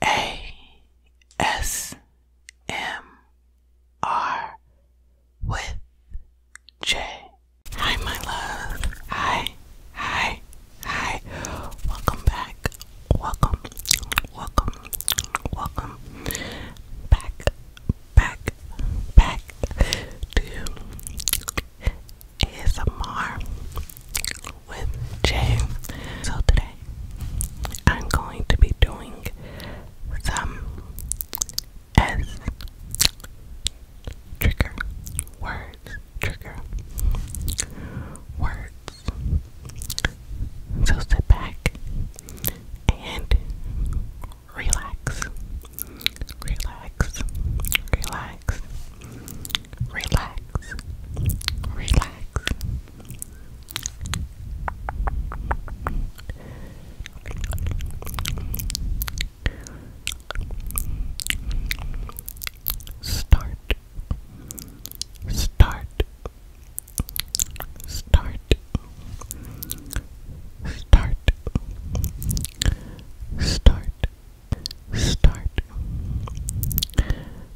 ASMR with Jay. Hi, my love. Hi, hi, hi. Welcome back. Welcome, welcome, welcome back, back, back to ASMR with Jay. So today I'm going to be doing some S trigger words, trigger words. So sit back and relax, relax, relax, relax, relax. Start. Start. Start. Start. Start. Start.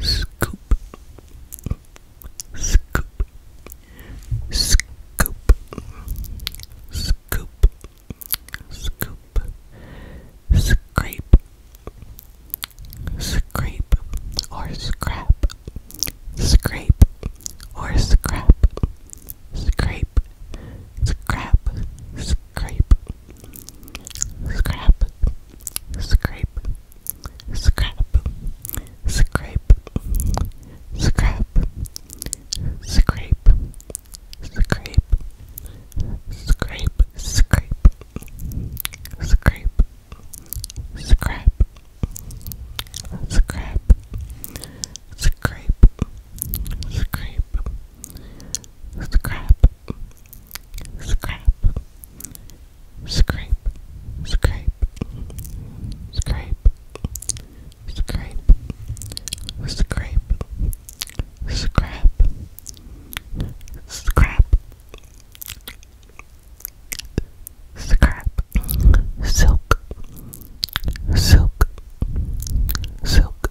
scoop, scoop, scoop, scoop, scoop, scrape, scrape, or scrap, scrape, or scrap, scrape, scrap, scrape, Scrap, scrape, scrap, scrape, scrap, scrape, scrape, scrape, scrape, scrape, scrap, scrap, scrape, scrape, scrap, Scrap. Scrape. Scrape. Scrape. Scrape. Scrape. Scrap. Scrap. Scrap. Silk. Silk. Silk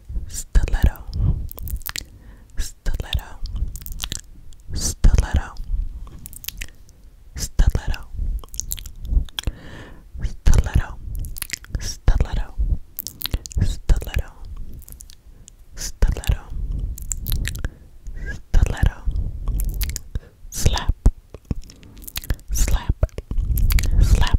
stiletto, stiletto, stiletto, stiletto, stiletto, stiletto, stiletto, stiletto, stiletto, slap, slap, slap.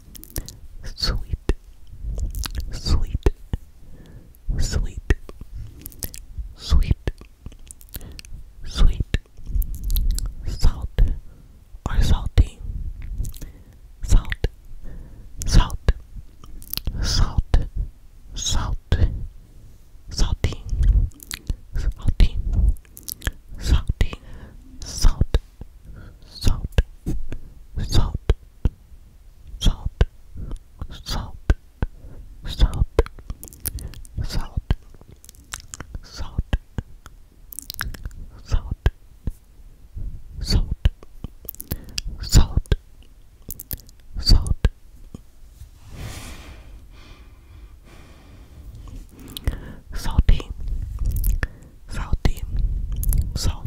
sweet, sweet, sweet, sweet, sweet, salt or salty, salt, salt, salt, salt, salty, salty, salty, salt. Salt, salt, salt, salt, salt, salt, salt, salt, salt, salt, salt. Salty, salty, salt,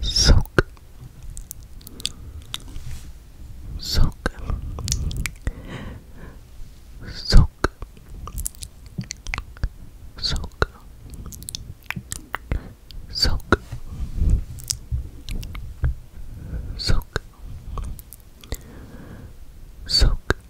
soak soak soak soak soak soak soak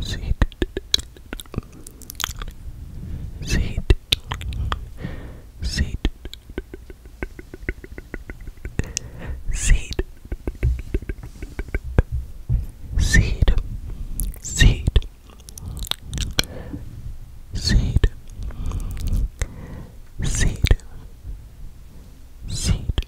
Sit. Sit. Sit. Seed, seed, seed, seed, seed, seed,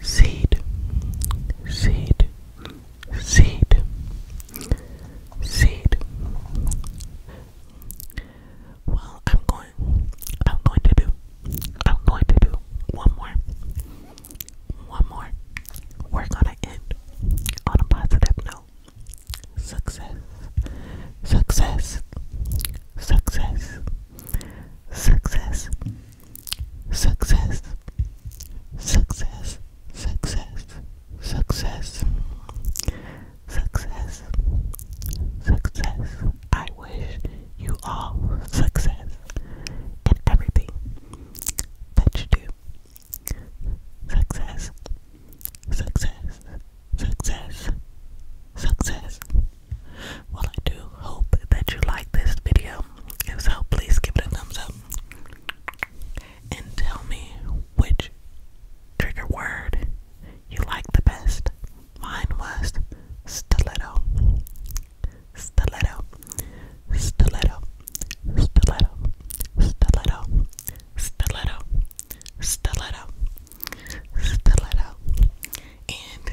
seed, seed, seed, seed. Well, I'm going, I'm going to do, I'm going to do one more, one more. We're gonna end on a positive note. Success, success, success, success, success, success, success, success, success, success. I wish you all success in everything that you do. Success, success, success, success. Well, I do hope that you like this video. If so, please give it a thumbs up and tell me which trigger word you like the best. Mine was stiletto, stiletto, stiletto, stiletto, stiletto, stiletto, stiletto, stiletto. And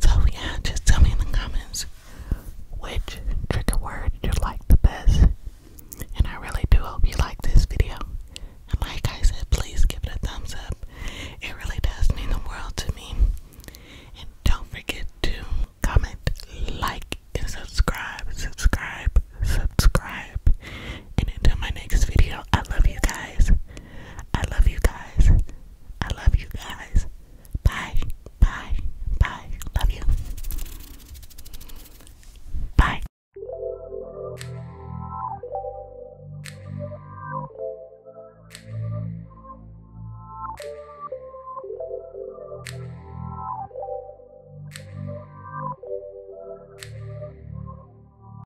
So yeah, just tell me in the comments which trigger word you like the best. And I really do hope you like this video. And like I said, please give it a thumbs up. It really does mean the world to me. And don't forget to comment, like, and subscribe. Subscribe, subscribe. And until my next video, I love you guys. I love you guys. I love you guys. Bye. Bye. Bye. Love you. Bye.